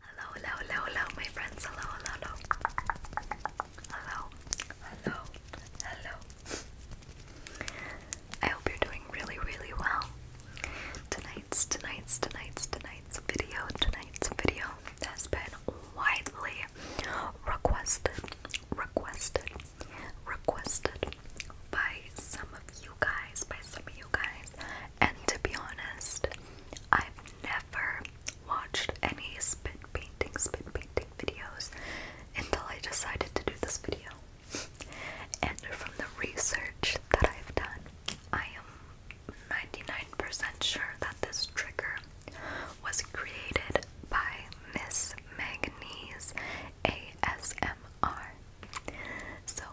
Hello, hello, hello, hello, my friends. Hello, hello, hello. Hello, hello, I hope you're doing really, really well. Tonight's, tonight's, tonight's, tonight's video, tonight's video has been widely requested, requested, requested by some of you guys, by some of you guys, and to be honest, I've never watched any spit painting, spit painting videos until I decided to do this video. And from the research that I've done, I am 99% sure that this trigger was created by Miss Magnese ASMR. So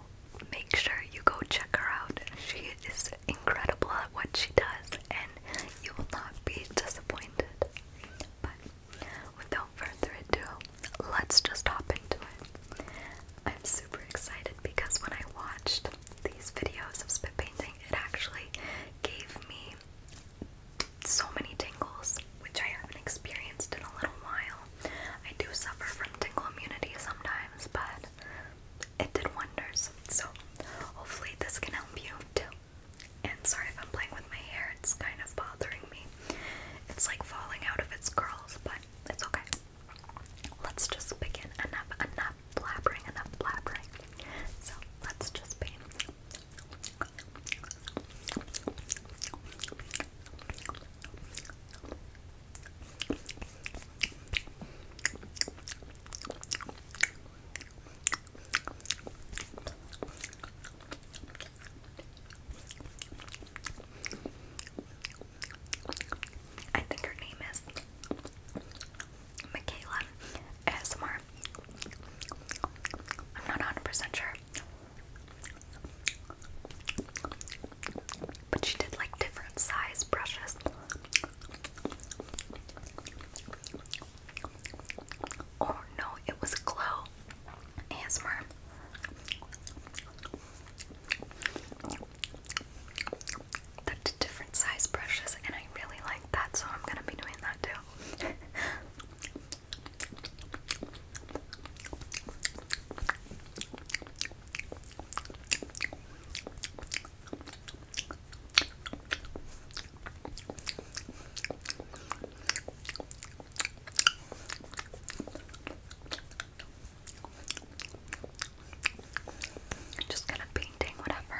make sure you go check her out. She is incredible at what she does, and you will not be disappointed. But without further ado, let's just hop into it. I'm super excited because when I watched these videos of spit painting, it actually gave me so many tingles, which I haven't experienced in a little while. I do suffer from tingle immunity sometimes, but it did wonders. So hopefully this can help you too. And sorry if I'm playing with my hair, it's kind of bothering me. It's like falling out of its curls, but it's okay. Let's just begin. Enough, enough blabbering, enough blabbering. So let's just begin. I think her name is Michaela ASMR. I'm not 100% sure. But she did like different size brushes. Oh no, it was Glow ASMR. They're different size brushes, and I really like that, so I'm gonna be doing that too. I'm just kind of painting whatever.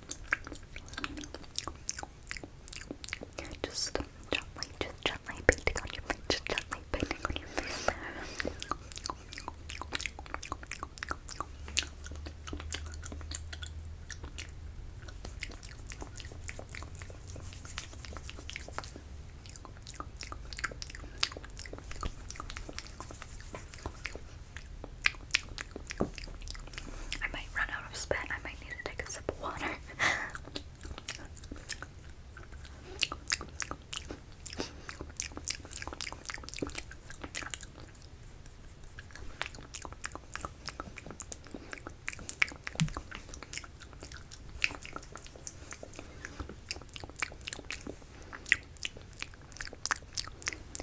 Just gently, just gently painting on your face, just gently painting on your I might run out of spit. I might need to take a sip of water.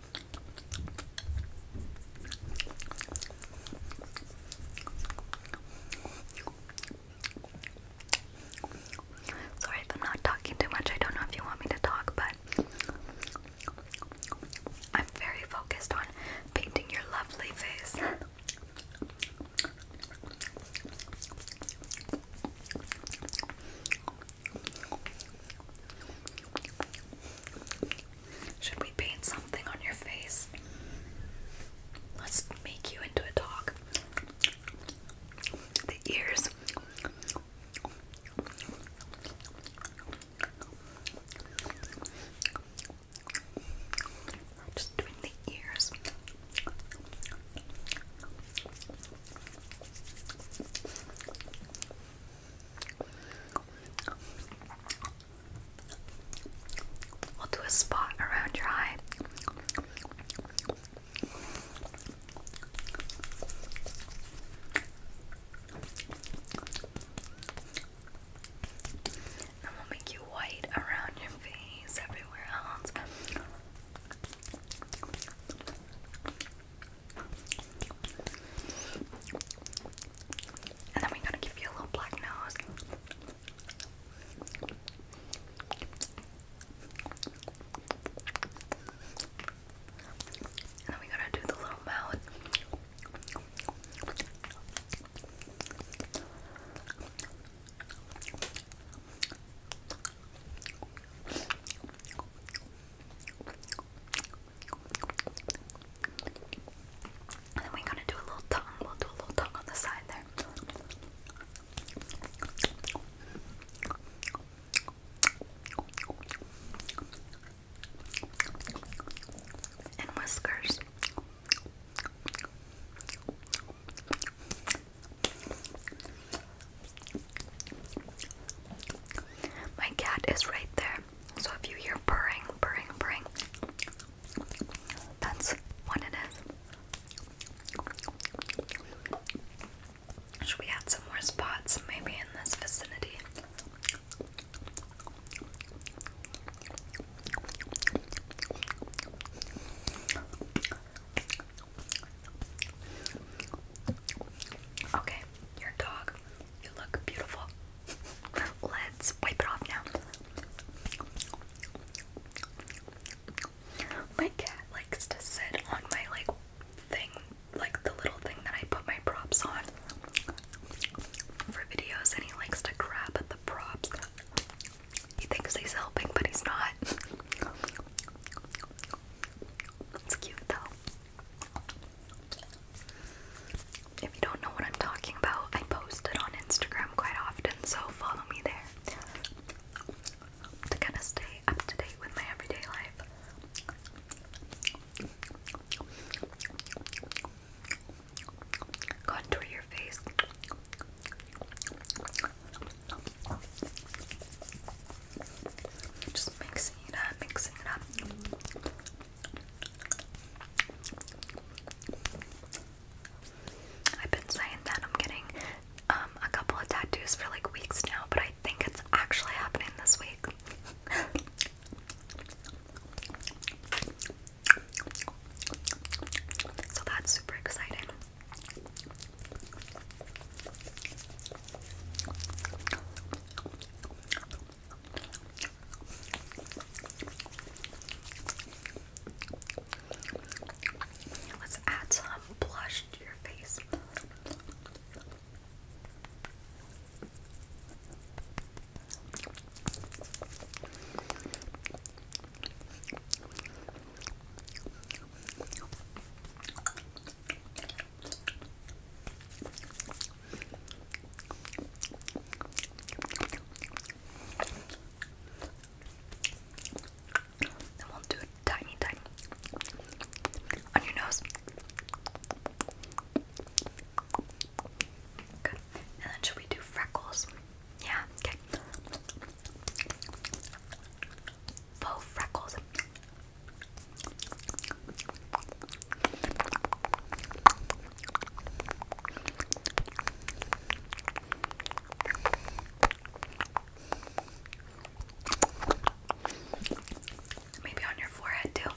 Sorry if I'm not talking too much. I don't know if you want me to talk, but I'm very focused on painting your lovely face. Should we paint something on your face? Let's make you into a dog. The ears. Just doing the ears. I'll do a spot around your eye. And we'll make you white around your face, everywhere else. And then we gotta give you a little black nose. And then we gotta do the little mouth. And then we're gonna do a little tongue. We'll do a little tongue on the side there. And whiskers. My cat is right there. So if you hear purring, purring, purring, that's what it is. Should we add some more spots maybe in this vicinity? Okay, your dog you look beautiful. Let's wipe it off now. My cat likes to sit on my like thing, like the little thing that I put my props on for videos, and he likes to grab at the props. He thinks he's helping, but he's not. It's cute though. If you don't know what I'm talking about, I post it on Instagram quite often, so follow me there to kind of stay up to date with my everyday life. Contour your face. Just mixing it up, mixing it up. I've been saying that I'm getting um, a couple of tattoos for like weeks now, but I think it's actually happening this week. so that's super exciting. Let's add some blush to your face. Then we'll do a tiny, tiny on your nose. Good. And then should we do freckles? Yeah, okay. Faux freckles. Maybe on your forehead too.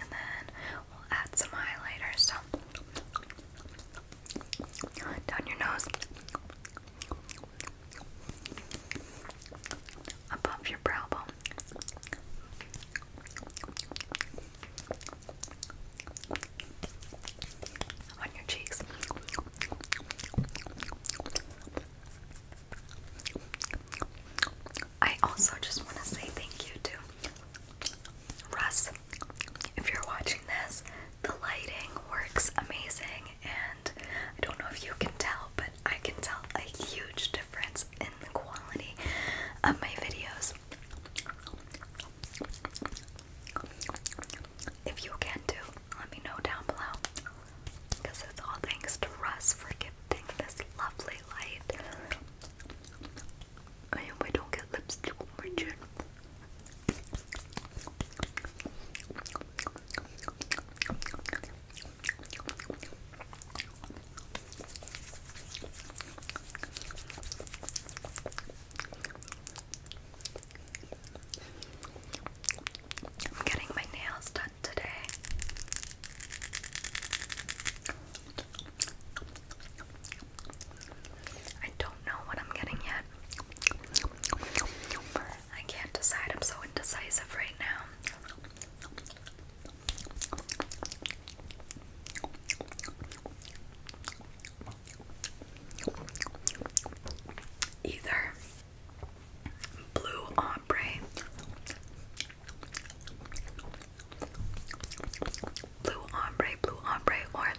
And then we'll add some highlighters. So down your nose, above your brow bone. On your cheeks, I also just want to say thank you to Russ. If you're watching this, the lighting works amazing, and I don't know if you can tell, but I can tell a huge difference in the quality of my videos. If you can do let me know down below. Because it's all thanks to Russ for giving this lovely light. I don't get lipstick on my I'm getting my nails done today. I don't know what I'm getting yet. I can't decide. I'm so indecisive right now. Either blue ombre Blue ombre, blue ombre, or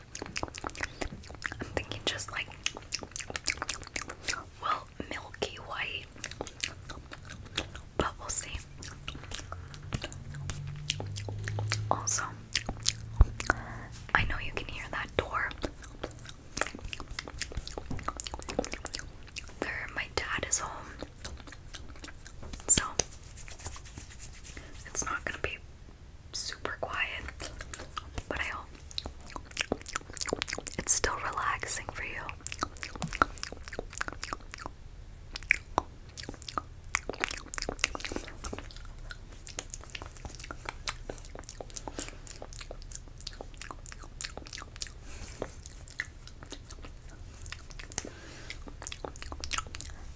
I'm thinking just like well milky white, but we'll see. Also, I know you can hear that door. There, my dad is home. So it's not gonna be super quiet, but I hope it's still relaxing for you.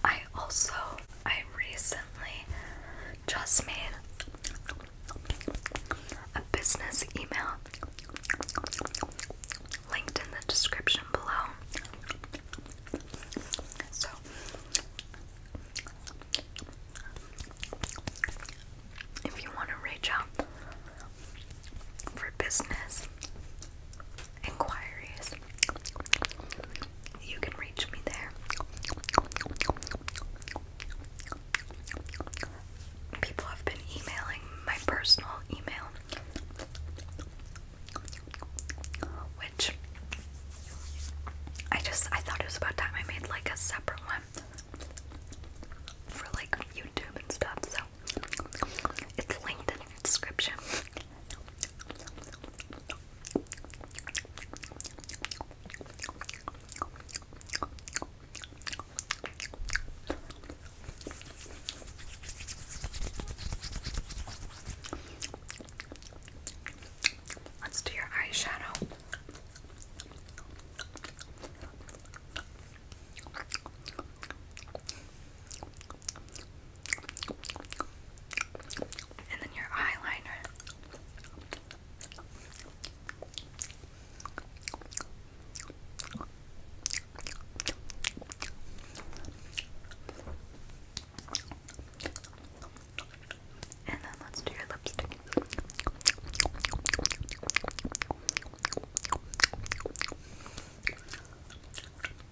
I also I recently just made a business email linked in the description below. So if you want to reach out for business, inquiries, you can reach me there. People have been emailing my personal email, which I just I thought it was about time I made like a separate one for like YouTube and stuff. So it's linked description. Let's do your eyeshadow. And then your eyeliner. And then let's do your lipstick.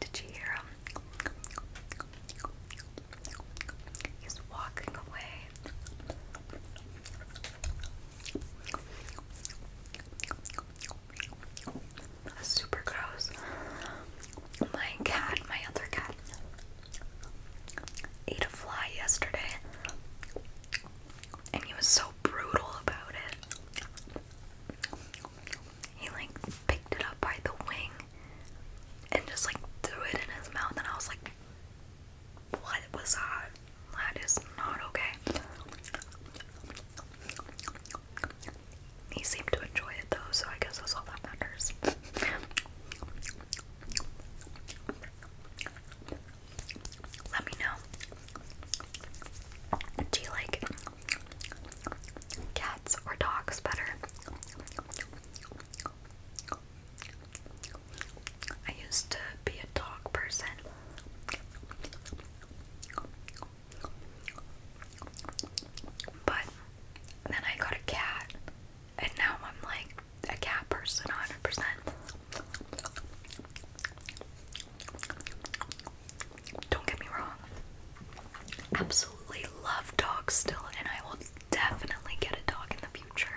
Did you hear him? He's walking away. super gross. My cat, my other cat, ate a fly yesterday, and he was so brutal about it. He like picked it up by the wing and just like threw it in his mouth and I was like what was that? That is not okay. He seemed to enjoy it though, so I guess that's all that matters. Let me know do you like cats or dogs better? I used to be a dog person. But then I got a cat, and now I'm like a cat person 100%. Don't get me wrong. Absolutely love dogs still, and I will definitely get a dog in the future.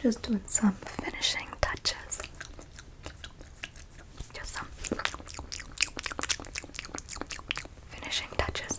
Just doing some finishing touches. Just some finishing touches.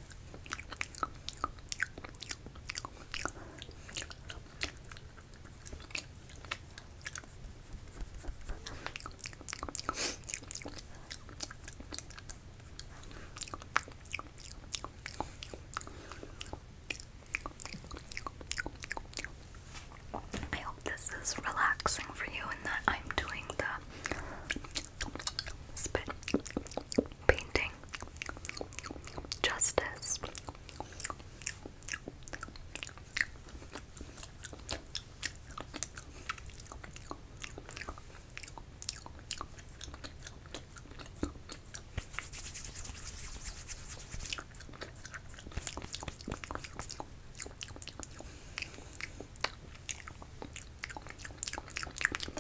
I hope this is relaxing for you and that I'm doing the spit painting, justice.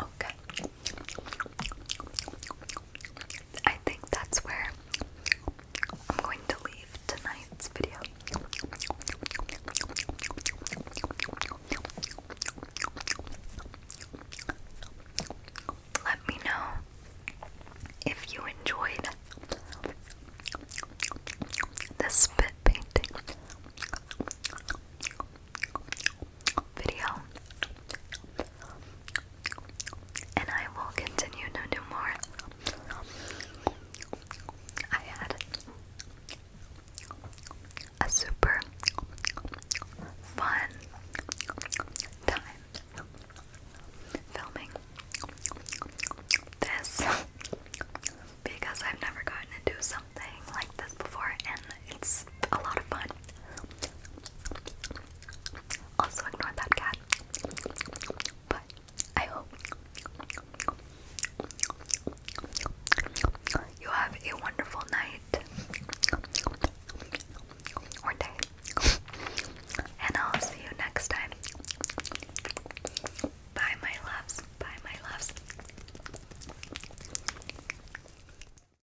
Okay. I think that's where I'm going to leave tonight's video. Let me know if you enjoyed the spit painting video. And I will continue to do more. I had a super fun time filming this because I've never gotten to do something like this before, and it's a lot of fun. Also ignore that cat. But I hope you have a wonderful night or day. And I'll see you next time. Bye my loves. Bye my loves.